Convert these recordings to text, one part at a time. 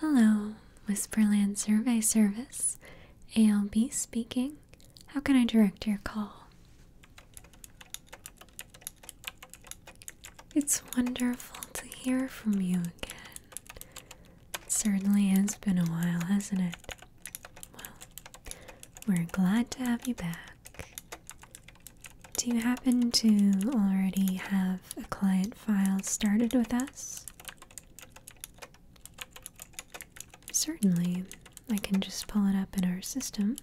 Hello, Whisperland Survey Service. ALB speaking. How can I direct your call? It's wonderful to hear from you again. It certainly has been a while, hasn't it? Well, we're glad to have you back. Do you happen to already have a client file started with us? Certainly, I can just pull it up in our system.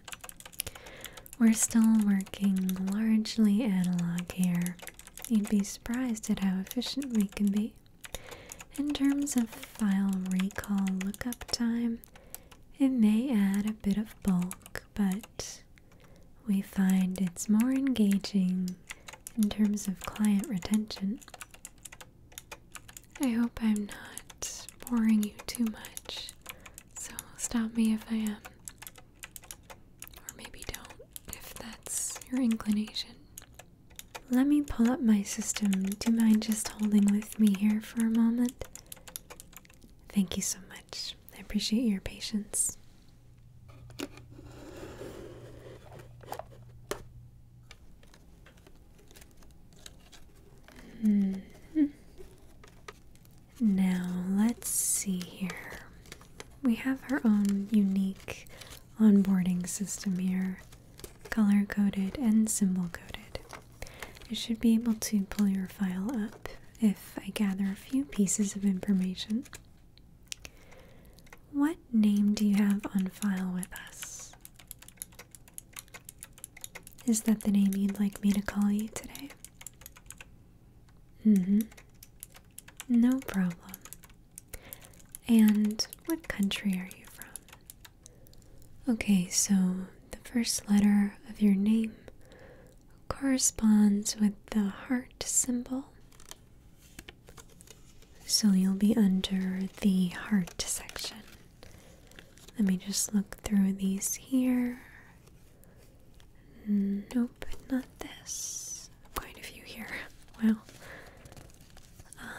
We're still working largely analog here. You'd be surprised at how efficient we can be. In terms of file recall lookup time, it may add a bit of bulk, but we find it's more engaging in terms of client retention. I hope I'm not boring you too much, so stop me if I am. Or maybe don't, if that's your inclination. Let me pull up my system. Do you mind just holding with me here for a moment? Thank you so much. I appreciate your patience. Hmm. Now, let's see here. We have our own unique onboarding system here, color coded and symbol coded. I should be able to pull your file up if I gather a few pieces of information. What name do you have on file with us? Is that the name you'd like me to call you today? Mm hmm. No problem. And what country are you from? Okay, so the first letter of your name corresponds with the heart symbol. So you'll be under the heart section. Let me just look through these here. Nope, not this. Quite a few here. Wow.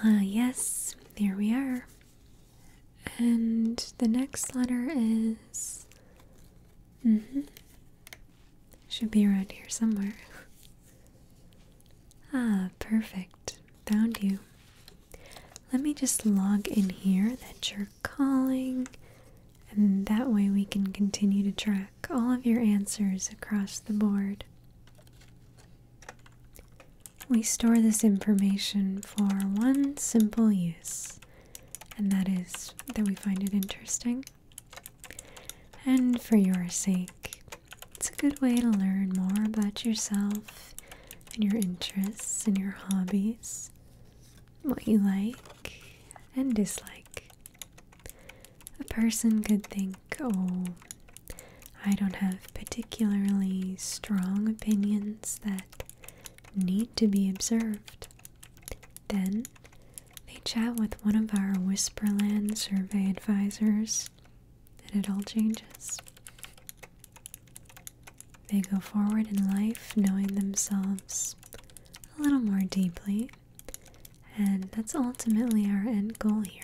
Uh, yes, there we are. And the next letter is. Mm hmm. Should be around here somewhere. Ah, perfect. Found you. Let me just log in here that you're calling, and that way we can continue to track all of your answers across the board. We store this information for one simple use, and that is that we find it interesting. And for your sake, it's a good way to learn more about yourself and your interests and your hobbies, what you like and dislike. A person could think, oh, I don't have particularly strong opinions that need to be observed. Then they chat with one of our Whisperland survey advisors and it all changes. They go forward in life knowing themselves a little more deeply, and that's ultimately our end goal here.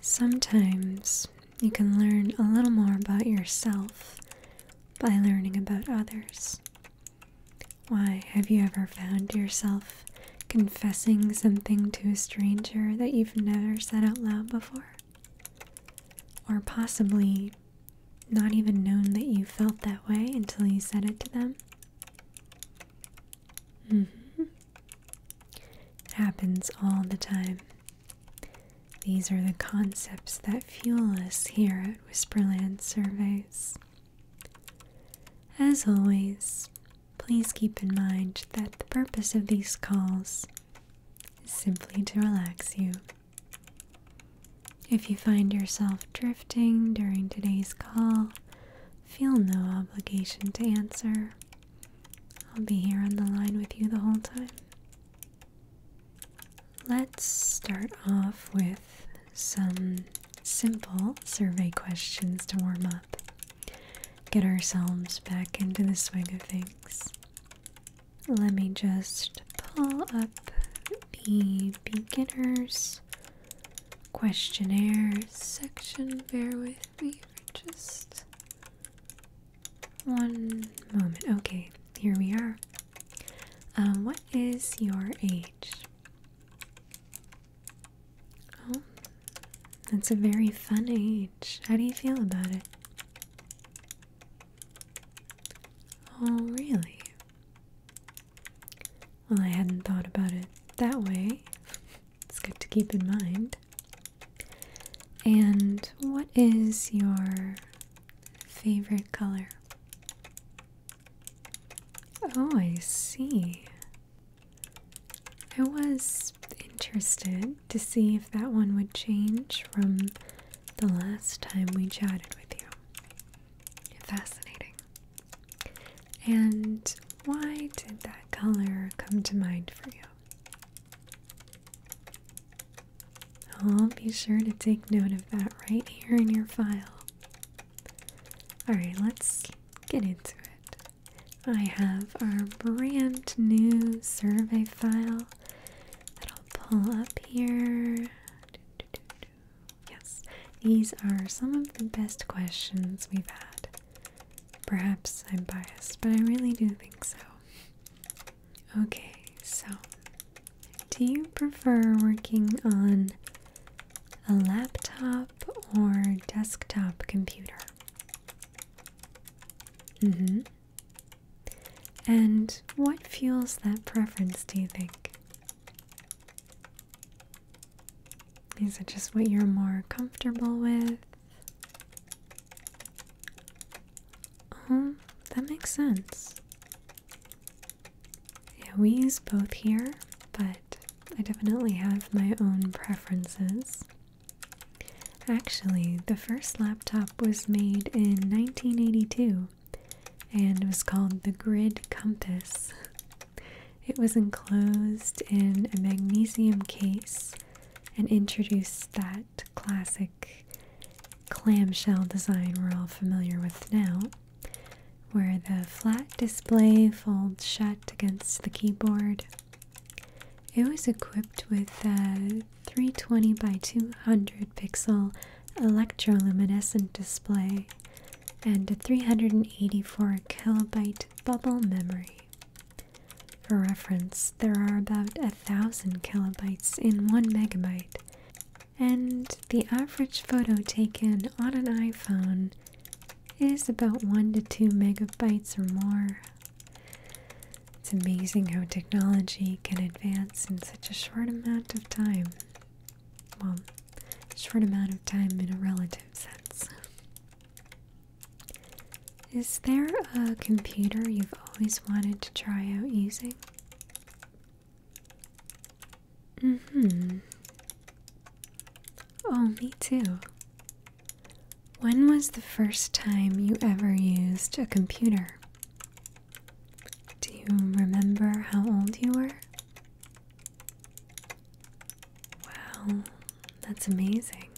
Sometimes you can learn a little more about yourself by learning about others. Why, have you ever found yourself confessing something to a stranger that you've never said out loud before? Or possibly not even known that you felt that way until you said it to them? hmm. It happens all the time. These are the concepts that fuel us here at Whisperland Surveys. As always, Please keep in mind that the purpose of these calls is simply to relax you. If you find yourself drifting during today's call, feel no obligation to answer. I'll be here on the line with you the whole time. Let's start off with some simple survey questions to warm up get ourselves back into the swing of things. Let me just pull up the beginners questionnaire section. Bear with me for just one moment. Okay, here we are. Um, what is your age? Oh, that's a very fun age. How do you feel about it? Oh, really? Well, I hadn't thought about it that way. It's good to keep in mind. And what is your favorite color? Oh, I see. I was interested to see if that one would change from the last time we chatted with you. Fascinating. And why did that color come to mind for you? I'll be sure to take note of that right here in your file. Alright, let's get into it. I have our brand new survey file that I'll pull up here. Yes, these are some of the best questions we've had. Perhaps I'm biased, but I really do think so. Okay, so do you prefer working on a laptop or desktop computer? Mm-hmm. And what fuels that preference, do you think? Is it just what you're more comfortable with? Oh, that makes sense. Yeah, we use both here, but I definitely have my own preferences. Actually, the first laptop was made in 1982 and was called the Grid Compass. It was enclosed in a magnesium case and introduced that classic clamshell design we're all familiar with now, where the flat display folds shut against the keyboard it was equipped with a 320 by 200 pixel electroluminescent display and a 384 kilobyte bubble memory. For reference, there are about a thousand kilobytes in one megabyte, and the average photo taken on an iPhone is about 1 to 2 megabytes or more. It's amazing how technology can advance in such a short amount of time. Well, short amount of time in a relative sense. Is there a computer you've always wanted to try out using? Mm hmm. Oh, me too. When was the first time you ever used a computer? Do you remember how old you were? Wow, that's amazing.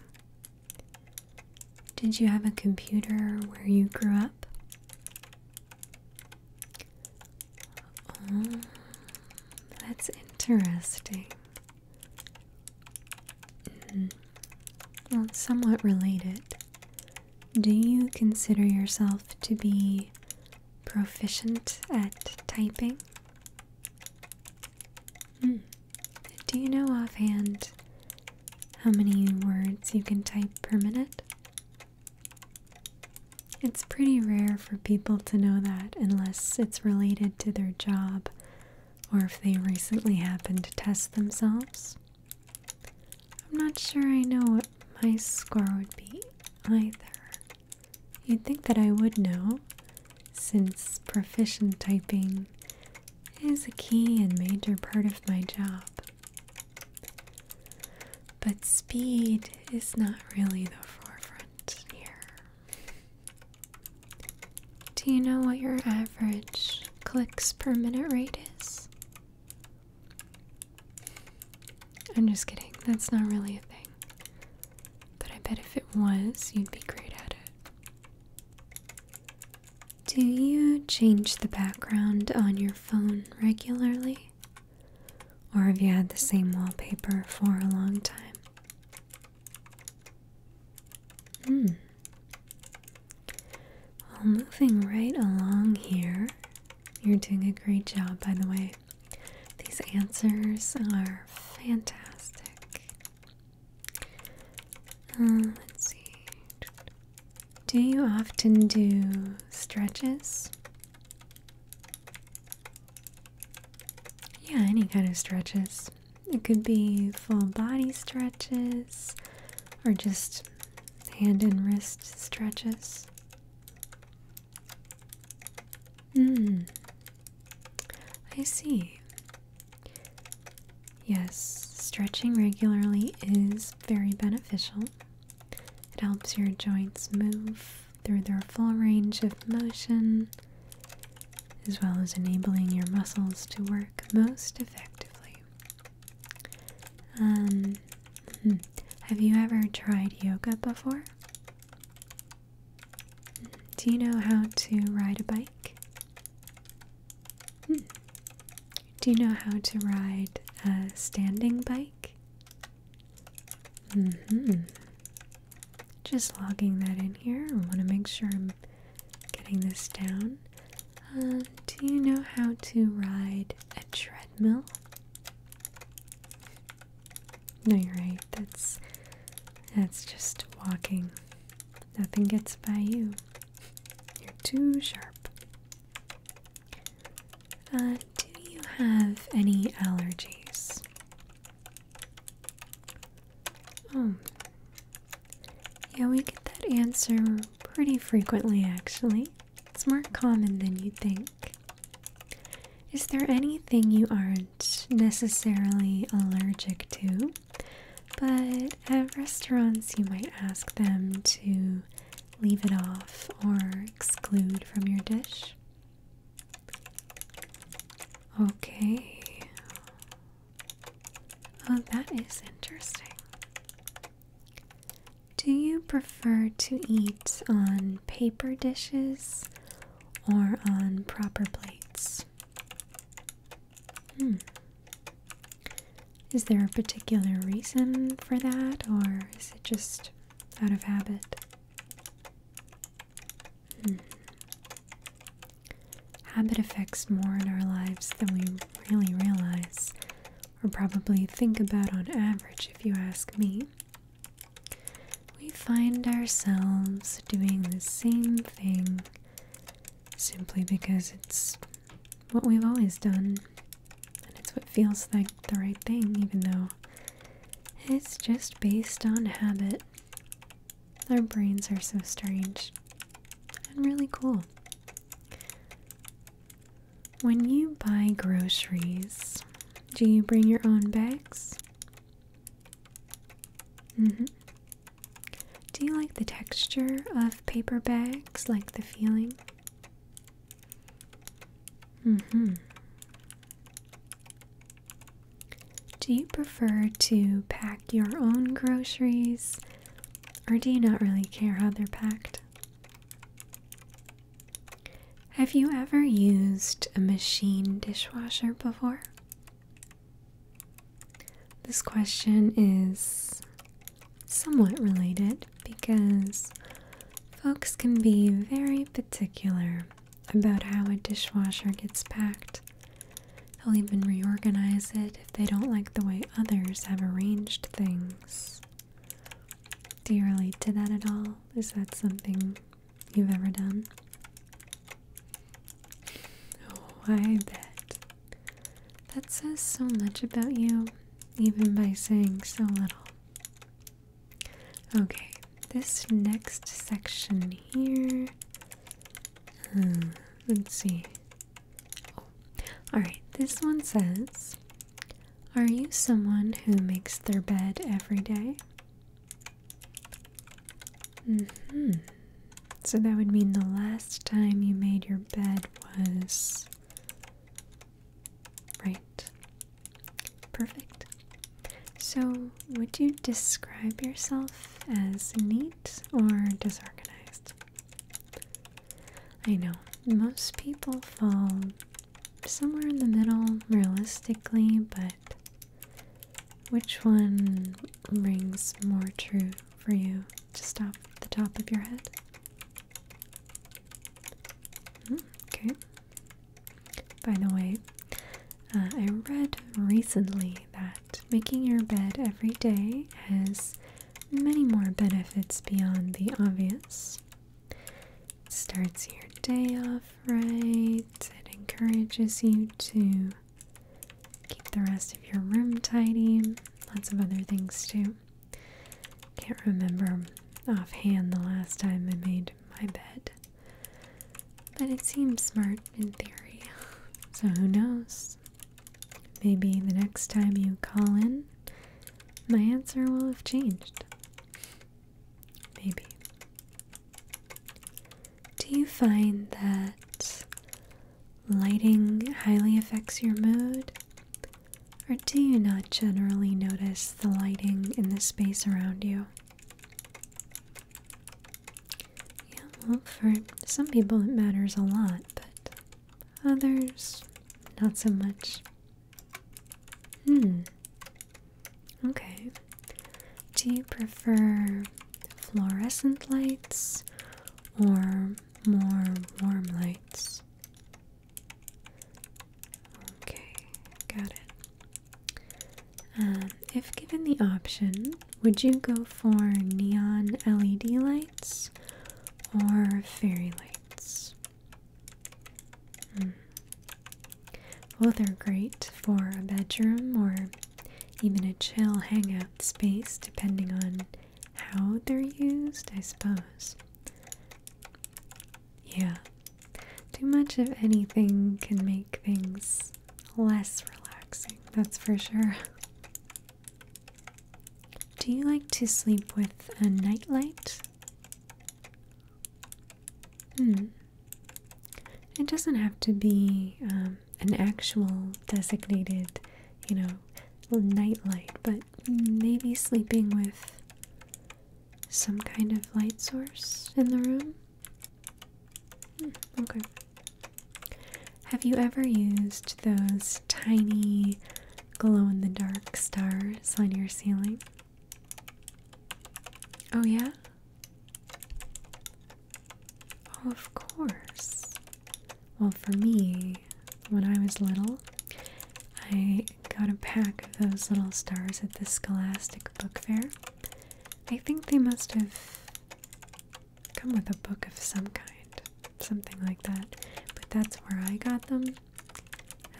Did you have a computer where you grew up? Oh, that's interesting. Mm-hmm. Well, somewhat related. Do you consider yourself to be proficient at typing? Hmm. Do you know offhand how many words you can type per minute? It's pretty rare for people to know that unless it's related to their job or if they recently happened to test themselves. I'm not sure I know what my score would be either. You'd think that I would know, since proficient typing is a key and major part of my job. But speed is not really the forefront. Do you know what your average clicks per minute rate is? I'm just kidding, that's not really a thing. But I bet if it was, you'd be great at it. Do you change the background on your phone regularly? Or have you had the same wallpaper for a long time? Hmm. moving right along here. You're doing a great job, by the way. These answers are fantastic. Uh, let's see. Do you often do stretches? Yeah, any kind of stretches. It could be full body stretches or just hand and wrist stretches. Hmm. I see. Yes, stretching regularly is very beneficial. It helps your joints move through their full range of motion, as well as enabling your muscles to work most effectively. Um, hmm. have you ever tried yoga before? Do you know how to ride a bike? Hmm. Do you know how to ride a standing bike? Mm-hmm. Just logging that in here. I want to make sure I'm getting this down. Uh, do you know how to ride a treadmill? No, you're right. That's that's just walking. Nothing gets by you. You're too sharp. Uh, do you have any allergies? Oh. Yeah, we get that answer pretty frequently, actually. It's more common than you'd think. Is there anything you aren't necessarily allergic to? But at restaurants, you might ask them to leave it off or exclude from your dish. Okay. Oh, that is interesting. Do you prefer to eat on paper dishes or on proper plates? Hmm. Is there a particular reason for that, or is it just out of habit? Habit affects more in our lives than we really realize, or probably think about on average, if you ask me. We find ourselves doing the same thing simply because it's what we've always done, and it's what feels like the right thing, even though it's just based on habit. Our brains are so strange and really cool. When you buy groceries, do you bring your own bags? Mm-hmm. Do you like the texture of paper bags? Like the feeling? Mm-hmm. Do you prefer to pack your own groceries or do you not really care how they're packed? Have you ever used a machine dishwasher before? This question is somewhat related because folks can be very particular about how a dishwasher gets packed. They'll even reorganize it if they don't like the way others have arranged things. Do you relate to that at all? Is that something you've ever done? Oh, I bet. That says so much about you, even by saying so little. Okay, this next section here Hmm, let's see. Alright, this one says Are you someone who makes their bed every mm-hmm. So that would mean the last time you made your bed was right. Perfect. So um, would you describe yourself as neat or disorganized? I know most people fall somewhere in the middle realistically, but which one rings more true for you just off the top of your head? Hmm, okay. By the way, uh, I read recently that making your bed every day has many more benefits beyond the obvious. It starts your day off right, it encourages you to keep the rest of your room tidy, lots of other things too. Can't remember offhand the last time I made my bed. But it seems smart in theory. So who knows? Maybe the next time you call in, my answer will have changed. Maybe. Do you find that lighting highly affects your mood? Or do you not generally notice the lighting in the space around you? Yeah, well, for some people it matters a lot, but others, not so much. Hmm. Okay. Do you prefer fluorescent lights or more warm lights? Okay, got it. Um, if given the option, would you go for neon LED lights or fairy lights? Hmm. Both are great for a bedroom or even a chill hangout space, depending on how they're used, I suppose. Yeah, too much of anything can make things less relaxing, that's for sure. Do you like to sleep with a nightlight? Hmm. It doesn't have to be um, an actual designated, you know, nightlight, but maybe sleeping with some kind of light source in the room. Okay. Have you ever used those tiny glow in the dark stars on your ceiling? Oh, yeah? Oh, of course. Well, for me, when I was little, I got a pack of those little stars at the Scholastic Book Fair. I think they must have come with a book of some kind, something like that. But that's where I got them,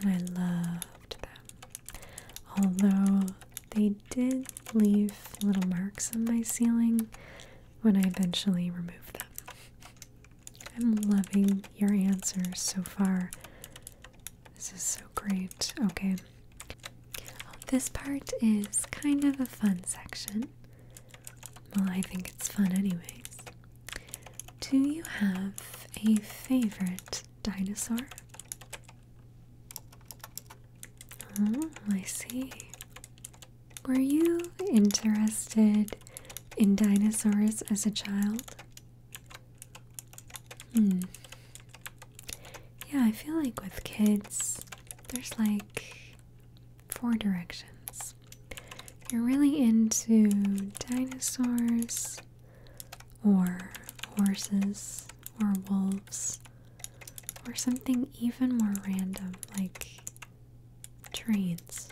and I loved them. Although they did leave little marks on my ceiling when I eventually removed them. I'm loving your answers so far. This is so great. Okay this part is kind of a fun section. Well, I think it's fun, anyways. Do you have a favorite dinosaur? Oh, I see. Were you interested in dinosaurs as a child? Hmm. Yeah, I feel like with kids, there's like four directions. you're really into dinosaurs or horses or wolves or something even more random like trains.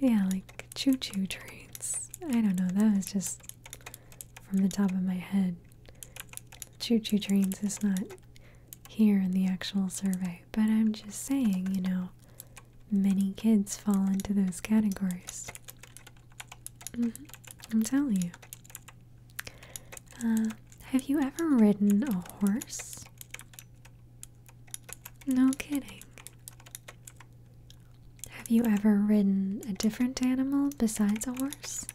Yeah, like choo choo trains. I don't know, that was just from the top of my head. Choo choo trains is not here in the actual survey, but I'm just saying, you know, many kids fall into those categories. Mm-hmm. I'm telling you. Uh, have you ever ridden a horse? No kidding. Have you ever ridden a different animal besides a horse?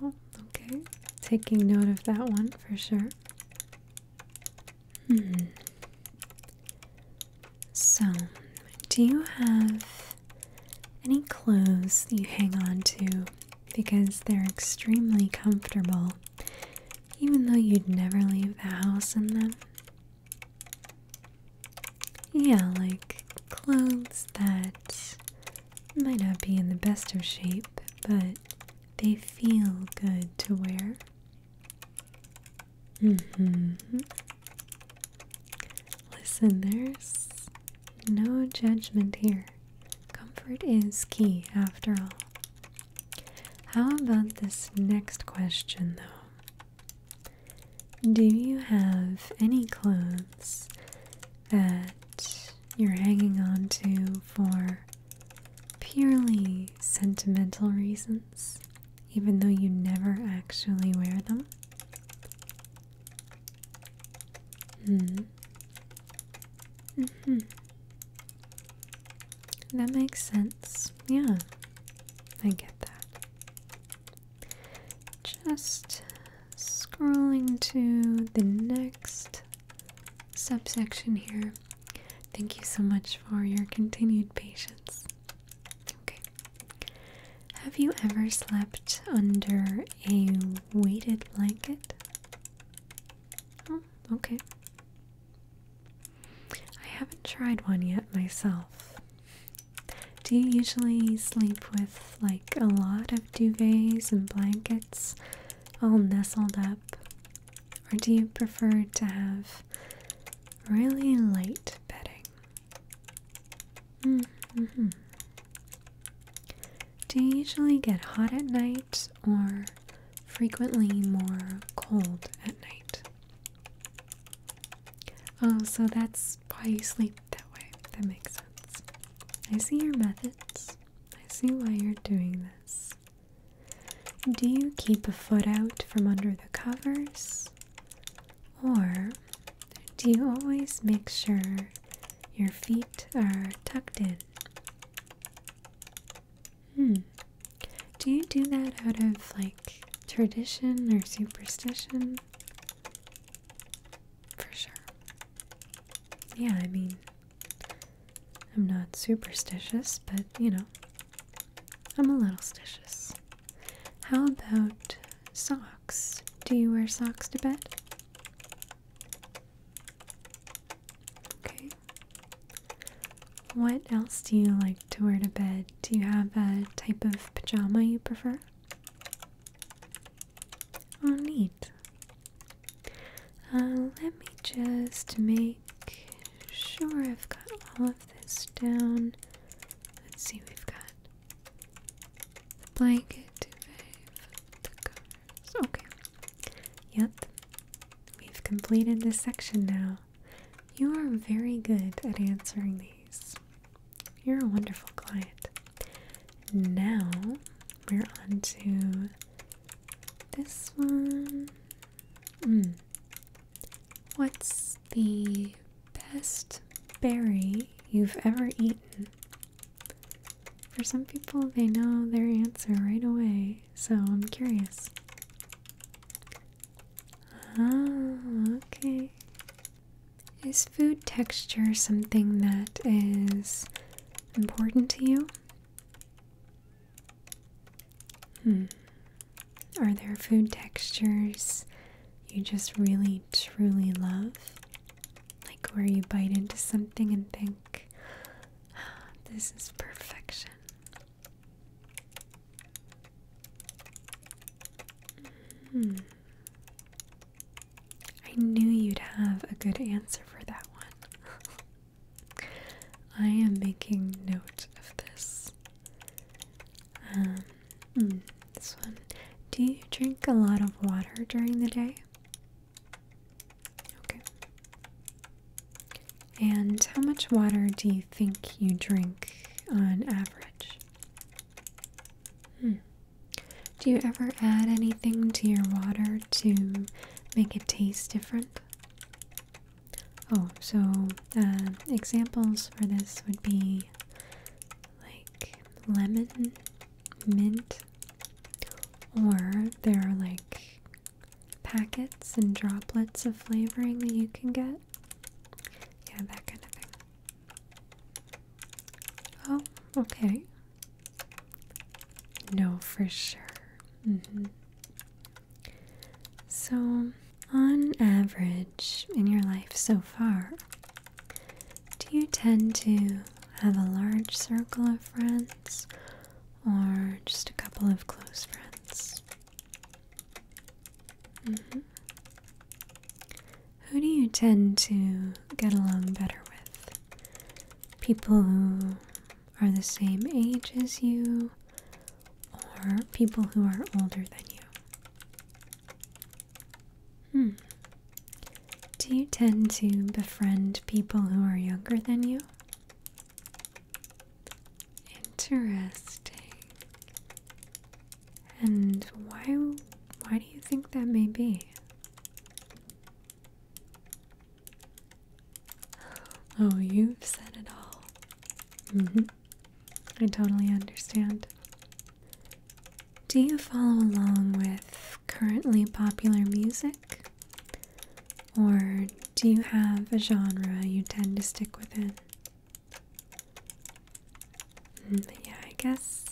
Well, okay. Taking note of that one for sure. Hmm. So, do you have any clothes you hang on to because they're extremely comfortable, even though you'd never leave the house in them? Yeah, like clothes that might not be in the best of shape, but they feel good to wear. Mm hmm. Listen, there's no judgment here. Comfort is key, after all. How about this next question, though? Do you have any clothes that you're hanging on to for purely sentimental reasons, even though you never actually wear them? Hmm. Mm hmm. That makes sense. Yeah, I get that just scrolling to the next subsection here. Thank you so much for your continued patience. Okay. Have you ever slept under a weighted blanket? Hmm, okay. I haven't tried one yet myself. Do you usually sleep with like a lot of duvets and blankets all nestled up? Or do you prefer to have really light bedding? Mm -hmm. Do you usually get hot at night or frequently more cold at night? Oh, so that's that's why you sleep that way. That makes sense. I see your methods. I see why you're doing this. Do you keep a foot out from under the covers? Or do you always make sure your feet are tucked in? Hmm. Do you do that out of like tradition or superstition? For sure. Yeah, I mean, I'm not superstitious, but you know, I'm a little stitious. How about socks? Do you wear socks to bed? Okay. What else do you like to wear to bed? Do you have a type of pajama you prefer? Oh, neat. Uh, let me just make sure I've got all of this down. Let's see, we've got the blanket, the covers. Okay. Yep. We've completed this section now. You are very good at answering these. You're a wonderful client. Now we're on to this one. Hmm. What's the best berry you've ever eaten? For some people, they know their answer right away, so I'm curious. Ah, okay. Is food texture something that is important to you? Hmm. Are there food textures you just really truly love? Like where you bite into something and think, ah, this is perfection. Hmm. I knew you'd have a good answer for that one. I am making note of this. Um, hmm, this one. Do you drink a lot of water during the day? Okay. And how much water do you think you drink on average? Hmm. Do you ever add anything to your water to make it taste different? Oh, so uh, examples for this would be like lemon, mint, or there are like packets and droplets of flavoring that you can get. Yeah, that kind of thing. Oh, okay. No, for sure. Mm-hmm. So, on average, in your life so far, do you tend to have a large circle of friends or just a couple of close friends? Mm-hmm. Who do you tend to get along better with? People who are the same age as you, or people who are older than you? Hmm. Do you tend to befriend people who are younger than you? Interesting. And why why do you think that may be? Oh, you've said it all. hmm I totally understand. Do you follow along with currently popular music? Or do you have a genre you tend to stick within? Mm, yeah, I guess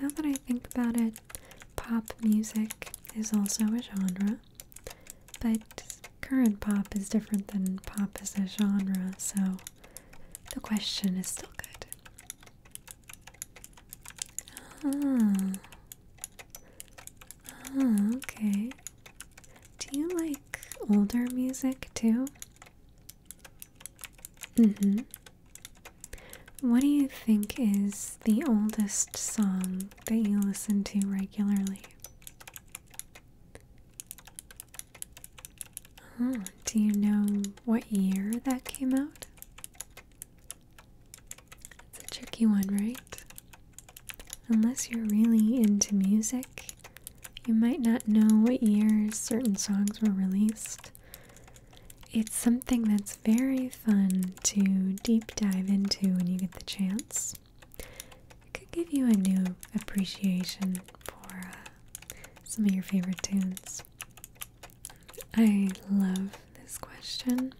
now that I think about it, pop music is also a genre, but current pop is different than pop as a genre, so the question is still good. Ah. Ah, okay. Do you like older music too? Mm-hmm. What do you think is the oldest song that you listen to regularly? Oh, do you know what year that came out? It's a tricky one, right? Unless you're really into music, you might not know what years certain songs were released. It's something that's very fun to deep dive into when you get the chance. It could give you a new appreciation for uh, some of your favorite tunes. I love this question.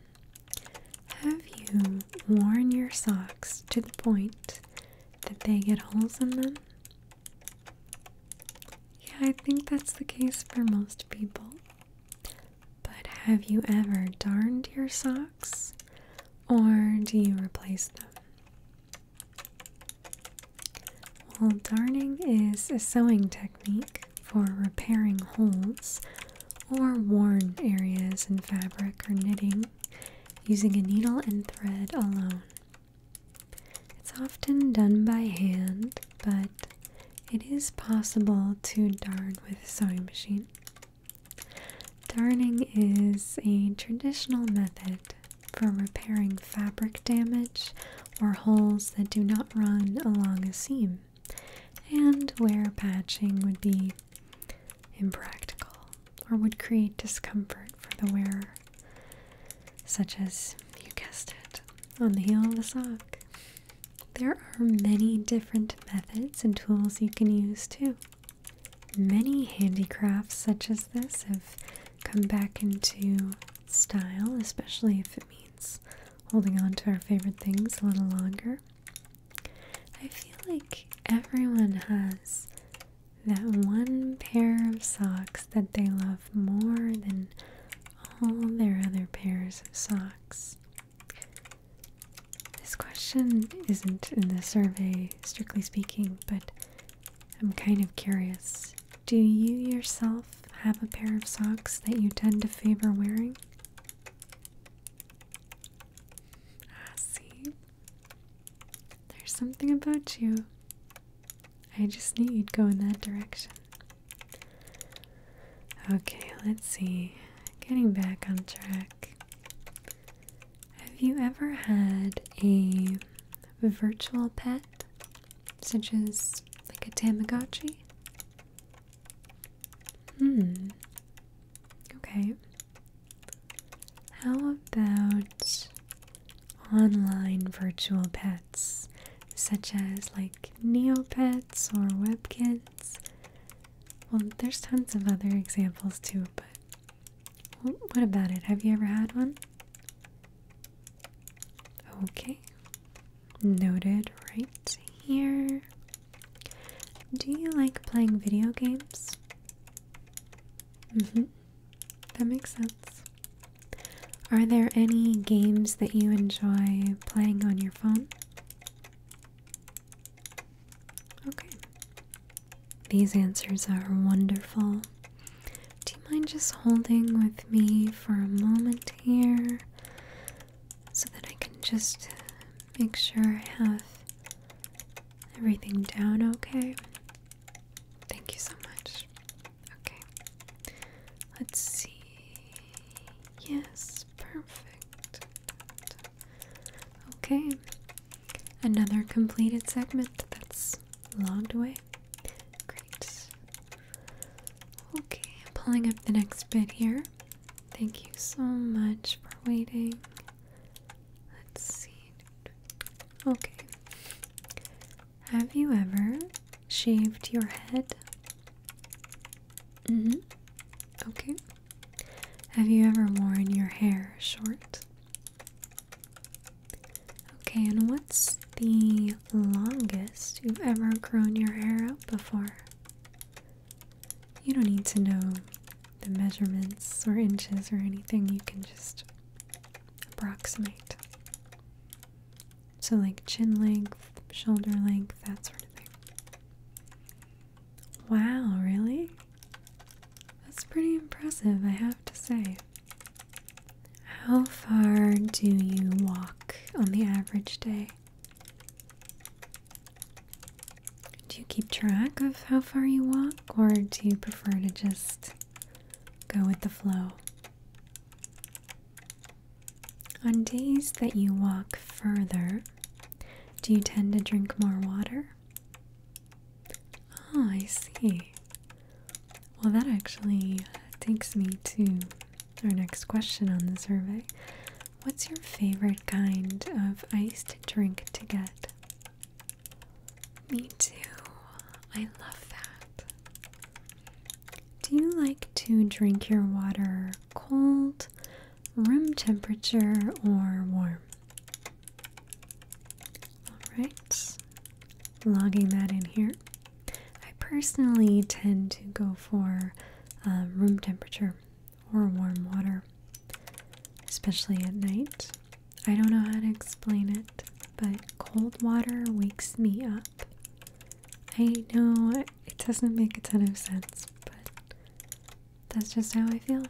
Have you worn your socks to the point that they get holes in them? Yeah, I think that's the case for most people. But have you ever darned your socks or do you replace them? Well, darning is a sewing technique for repairing holes or worn areas in fabric or knitting using a needle and thread alone. It's often done by hand but it is possible to darn with a sewing machine. Darning is a traditional method for repairing fabric damage or holes that do not run along a seam, and where patching would be impractical or would create discomfort for the wearer, such as, you guessed it, on the heel of the sock. There are many different methods and tools you can use too. Many handicrafts such as this have come back into style, especially if it means holding on to our favorite things a little longer. I feel like everyone has that one pair of socks that they love more than all their other pairs of socks? This question isn't in the survey, strictly speaking, but I'm kind of curious. Do you yourself have a pair of socks that you tend to favor wearing? Ah, see, there's something about you. I just knew you'd go in that direction. Okay, let's see. Getting back on track. Have you ever had a virtual pet, such as like a Tamagotchi? Hmm. Okay. How about online virtual pets? such as like Neopets or WebKits. Well, there's tons of other examples too, but what about it? Have you ever had one? Okay, noted right here. Do you like playing video games? Mm-hmm. That makes sense. Are there any games that you enjoy playing on your phone? Okay. These answers are wonderful. Do you mind just holding with me for a moment here so that I can just make sure I have everything down okay? Thank you so much. Okay. Let's see. Yes, perfect. Okay. Another completed segment that's logged away. Great. Okay, pulling up the next bit here. Thank you so much for waiting. Let's see. Okay. Have you ever shaved your head? Mm-hmm. Okay. Have you ever worn your hair short? Okay, and what's the longest you've ever grown your hair out before? You don't need to know the measurements or inches or anything, you can just approximate. So, like chin length, shoulder length, that sort of thing. Wow, really? That's pretty impressive, I have to say. How far do you walk on the average day? Do you keep track of how far you walk, or do you prefer to just go with the flow? On days that you walk further, do you tend to drink more water? Oh, I see. Well, that actually takes me to our next question on the survey. What's your favorite kind of iced drink to get? Me too. I love that. Do you like to drink your water cold, room temperature, or warm? Alright, logging that in here. I personally tend to go for uh, room temperature or warm water, especially at night. I don't know how to explain it, but cold water wakes me up. I know it doesn't make a ton of sense, but that's just how I feel.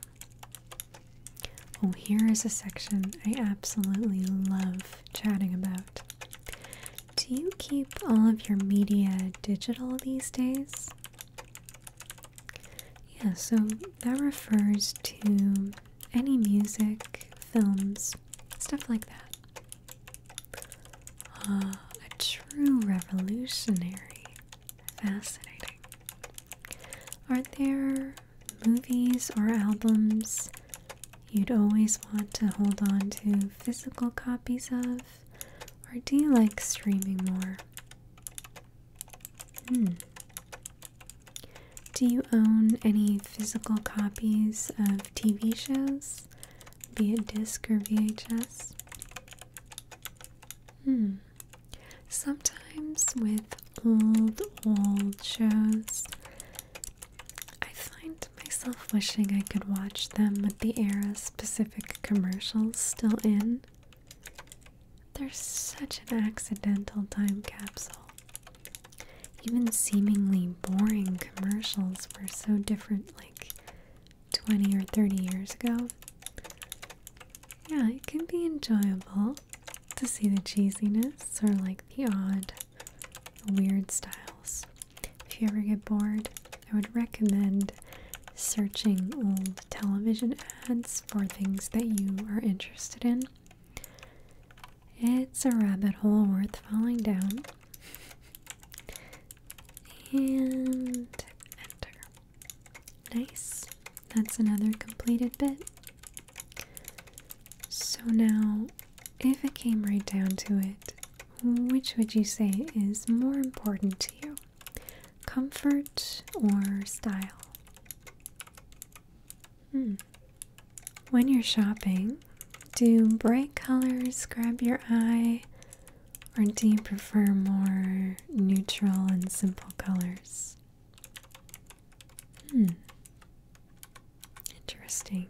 Oh, here is a section I absolutely love chatting about. Do you keep all of your media digital these days? Yeah, so that refers to any music, films, stuff like that. Uh, a true revolutionary. Fascinating. Are there movies or albums you'd always want to hold on to physical copies of? Or do you like streaming more? Hmm. Do you own any physical copies of TV shows, be it disc or VHS. Hmm. Sometimes with old, old shows, I find myself wishing I could watch them with the era specific commercials still in. They're such an accidental time capsule. Even seemingly boring commercials were so different like 20 or 30 years ago. Yeah, it can be enjoyable to see the cheesiness or like the odd, weird styles. If you ever get bored, I would recommend searching old television ads for things that you are interested in. It's a rabbit hole worth falling down and enter. Nice. That's another completed bit. So now, if it came right down to it, which would you say is more important to you? Comfort or style? Hmm. When you're shopping, do bright colors grab your eye, or do you prefer more neutral and simple colors? Hmm. Interesting.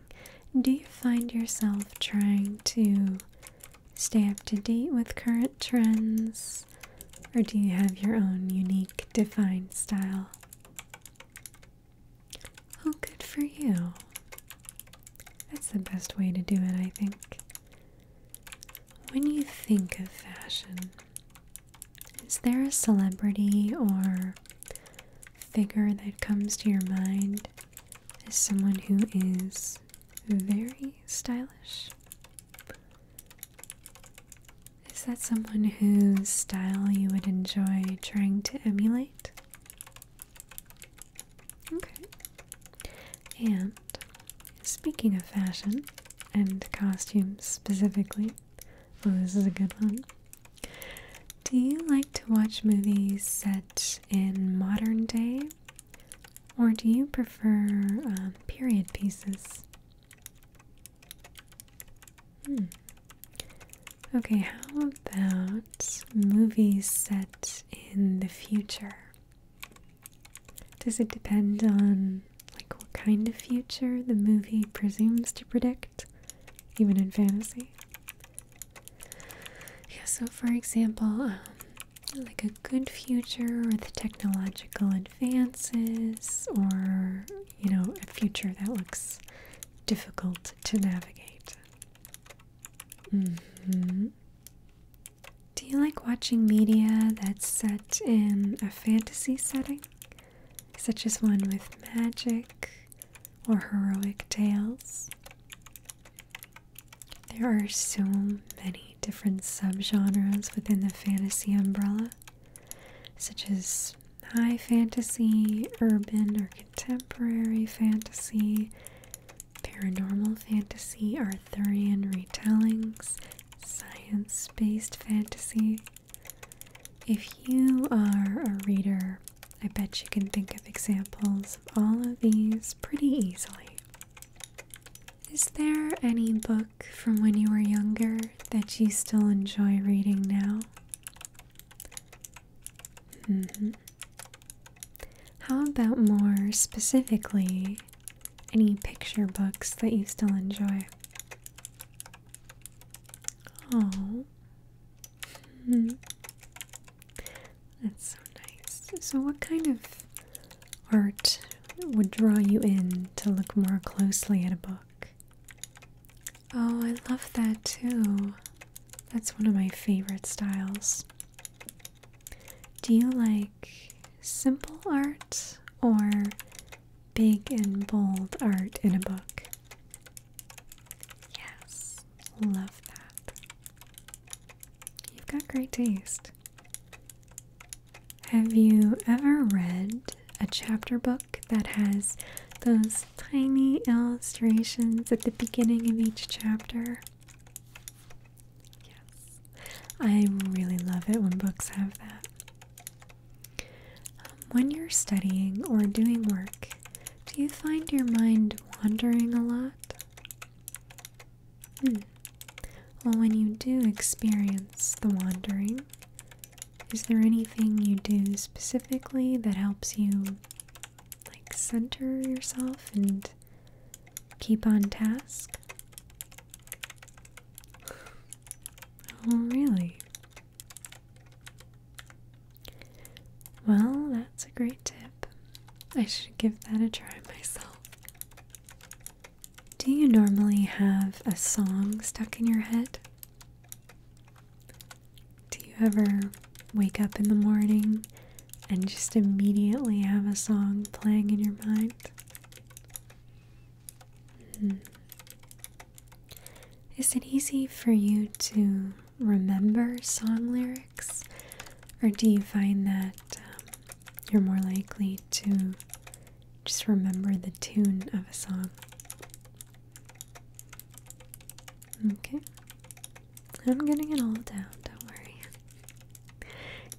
Do you find yourself trying to stay up to date with current trends, or do you have your own unique, defined style? Oh, good for you. That's the best way to do it, I think. When you think of fashion, is there a celebrity or figure that comes to your mind as someone who is very stylish? Is that someone whose style you would enjoy trying to emulate? Okay. And speaking of fashion and costumes specifically, oh, this is a good one. Do you like to watch movies set in modern day, or do you prefer um, period pieces? Hmm. Okay, how about movies set in the future? Does it depend on like what kind of future the movie presumes to predict, even in fantasy? Yeah, so for example, um, like a good future with technological advances or, you know, a future that looks difficult to navigate. Mm-hmm. Do you like watching media that's set in a fantasy setting, such as one with magic or heroic tales? There are so many different subgenres within the fantasy umbrella, such as high fantasy, urban or contemporary fantasy, paranormal fantasy, Arthurian retellings, science based fantasy. If you are a reader, I bet you can think of examples of all of these pretty easily. Is there any book from when you were younger that you still enjoy reading now? Mm-hmm. How about more specifically any picture books that you still enjoy? Oh. Hmm. That's so nice. So, what kind of art would draw you in to look more closely at a book? Oh, I love that too. That's one of my favorite styles. Do you like simple art or big and bold art in a book? Yes, love that. You've got great taste. Have you ever read a chapter book that has those tiny illustrations at the beginning of each chapter? Yes. I really love it when books have that. Um, when you're studying or doing work, do you find your mind wandering a lot? Hmm. Well, when you do experience the wandering, is there anything you do specifically that helps you like center yourself and keep on task? Oh, really? Well, that's a great tip. I should give that a try myself. Do you normally have a song stuck in your head? Do you ever wake up in the morning and just immediately have a song playing in your mind? Hmm. Is it easy for you to remember song lyrics, or do you find that um, you're more likely to just remember the tune of a song? Okay, I'm getting it all down, don't worry.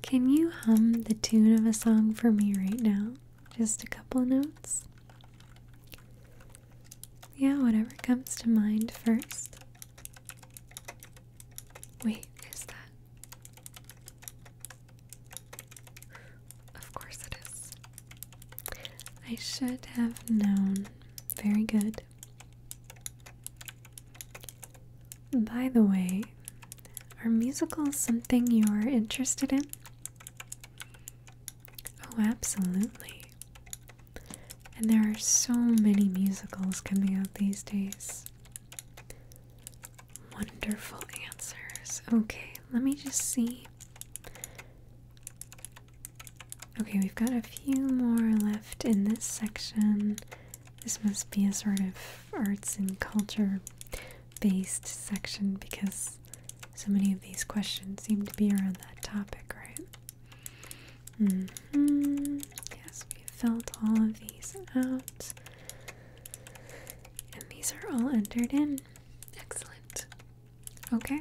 Can you hum the tune of a song for me right now? Just a couple notes? Yeah, whatever comes to mind first. Wait, is that? Of course it is. I should have known. Very good. By the way, are musicals something you're interested in? Oh, absolutely. And there are so many musicals coming out these days. Wonderful answers. Okay, let me just see. Okay, we've got a few more left in this section. This must be a sort of arts and culture based section because so many of these questions seem to be around that topic, right? hmm Yes, we have filled all of these out. And these are all entered in. Excellent. Okay.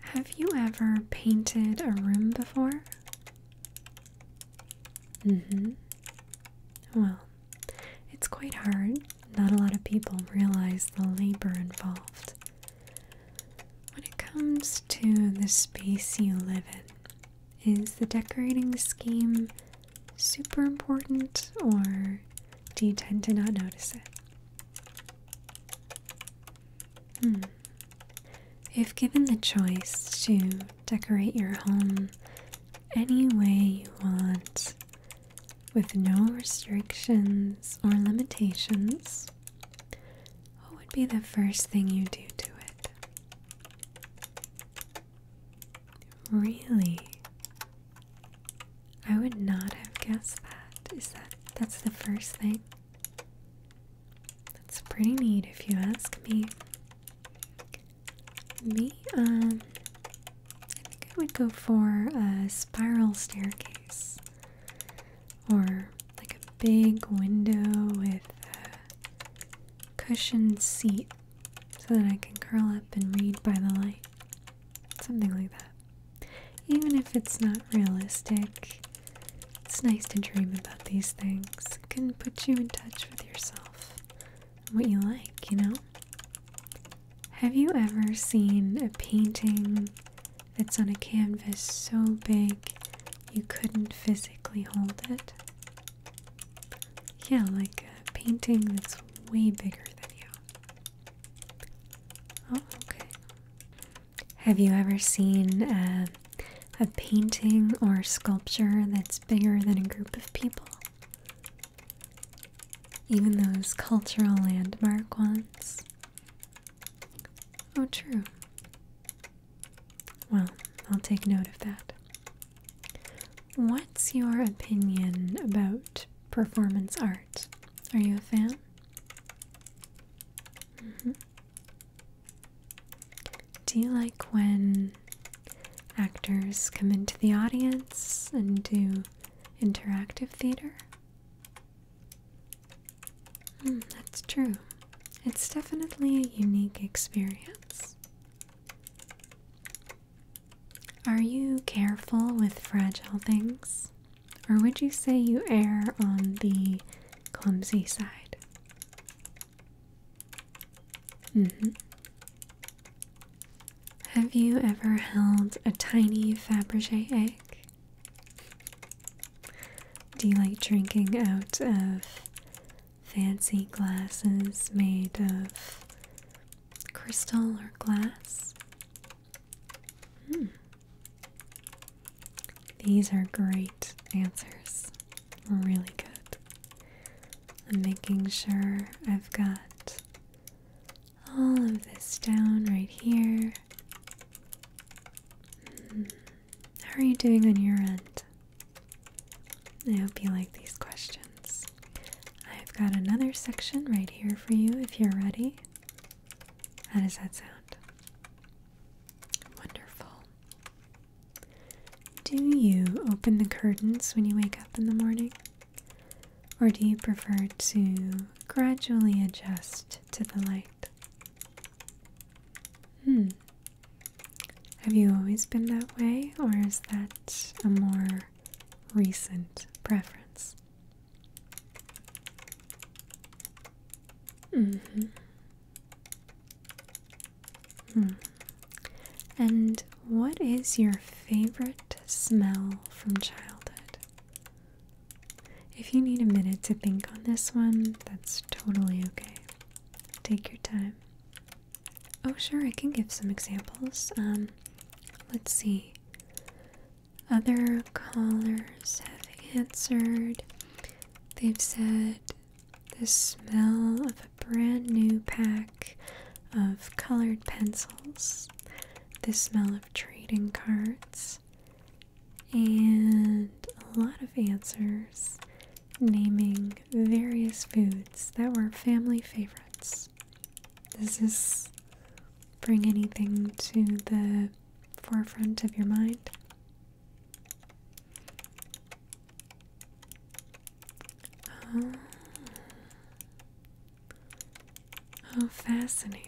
Have you ever painted a room before? Mm-hmm. Well, it's quite hard. Not a lot of people realize the labor involved. When it comes to the space you live in, is the decorating scheme super important or do you tend to not notice it? Hmm. If given the choice to decorate your home any way you want, with no restrictions or limitations, what would be the first thing you do to it? Really? I would not have guessed that. Is that that's the first thing? That's pretty neat if you ask me. Me, um, I think I would go for a spiral staircase or like a big window with a cushioned seat so that I can curl up and read by the light. Something like that. Even if it's not realistic, it's nice to dream about these things. It can put you in touch with yourself what you like, you know? Have you ever seen a painting that's on a canvas so big you couldn't physically hold it? Yeah, like a painting that's way bigger than you. Oh, okay. Have you ever seen uh, a, painting or sculpture that's bigger than a group of people? Even those cultural landmark ones? Oh, true. Well, I'll take note of that. What's your opinion about performance art? Are you a fan? Mm-hmm. Do you like when actors come into the audience and do interactive theater? Hmm, that's true. It's definitely a unique experience. Are you careful with fragile things? Or would you say you err on the clumsy side? Mm-hmm. Have you ever held a tiny Fabergé egg? Do you like drinking out of fancy glasses made of crystal or glass? Hmm. These are great answers. Really good. I'm making sure I've got all of this down right here. Hmm. How are you doing on your end? I hope you like these questions. I've got another section right here for you if you're ready. How does that sound? Wonderful. Do you open the curtains when you wake up in the morning? Or do you prefer to gradually adjust to the light? Hmm. Have you always been that way, or is that a more recent preference? Mm-hmm. Hmm. And what is your favorite smell from childhood? If you need a minute to think on this one, that's totally okay. Take your time. Oh, sure, I can give some examples. Um, let's see. Other callers have answered. They've said the smell of a brand new pack of colored pencils, the smell of trading cards, and a lot of answers naming various foods that were family favorites. Does this bring anything to the forefront of your mind? Oh. oh, fascinating.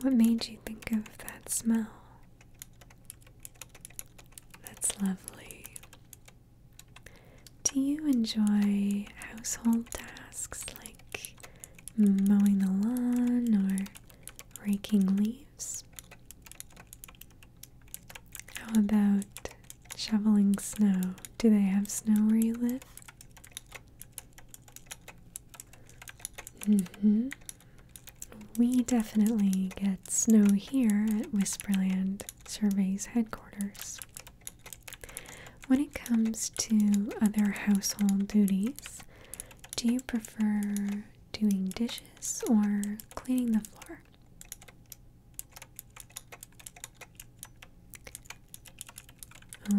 what made you think of that smell? That's lovely. Do you enjoy household tasks like mowing the lawn or raking leaves? How about shoveling snow? Do they have snow where you live? Mm hmm. We definitely get snow here at Whisperland Survey's headquarters. When it comes to other household duties, do you prefer doing dishes or cleaning the floor.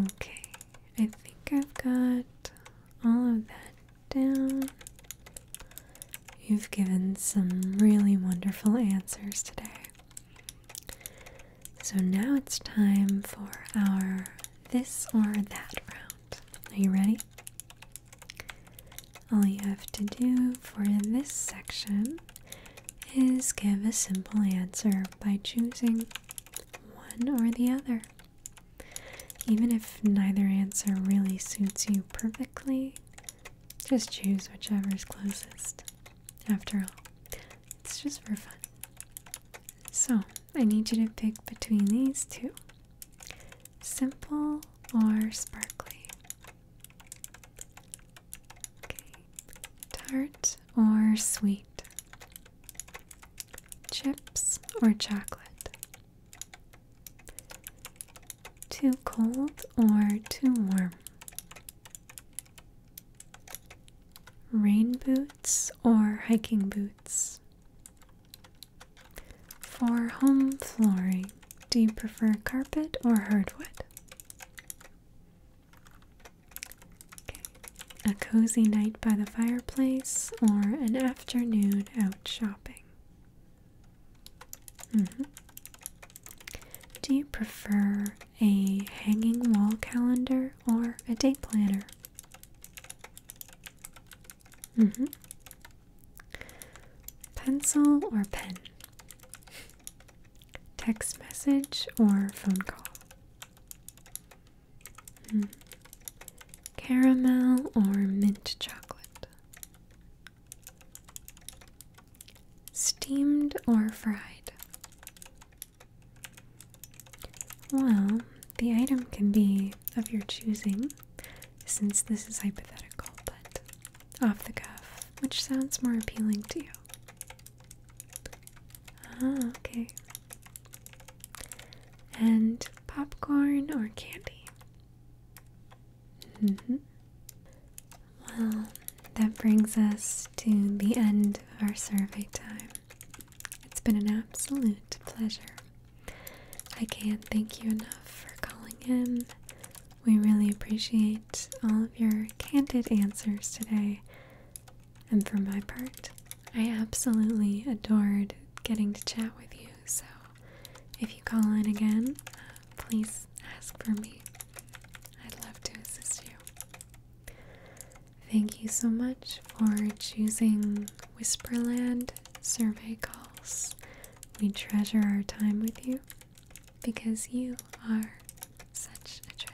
Okay, I think I've got all of that down. You've given some really wonderful answers today. So now it's time for our this or that round. Are you ready? All you have to do for this section is give a simple answer by choosing one or the other. Even if neither answer really suits you perfectly, just choose whichever is closest. After all, it's just for fun. So, I need you to pick between these two. Simple or sparkly? Tart or sweet? Chips or chocolate? Too cold or too warm? Rain boots or hiking boots? For home flooring, do you prefer carpet or hardwood? A cozy night by the fireplace or an afternoon out shopping? Mm-hmm. Do you prefer a hanging wall calendar or a date planner? Mm-hmm. Pencil or pen? Text message or phone call? Hmm. Caramel or mint chocolate? Steamed or fried? Well, the item can be of your choosing, since this is hypothetical, but off the cuff, which sounds more appealing to you. Ah, okay. And popcorn or candy? Mm -hmm. Well, that brings us to the end of our survey time. It's been an absolute pleasure I can't thank you enough for calling in. We really appreciate all of your candid answers today. And for my part, I absolutely adored getting to chat with you. So if you call in again, please ask for me. I'd love to assist you. Thank you so much for choosing Whisperland survey calls. We treasure our time with you because you are such a treasure.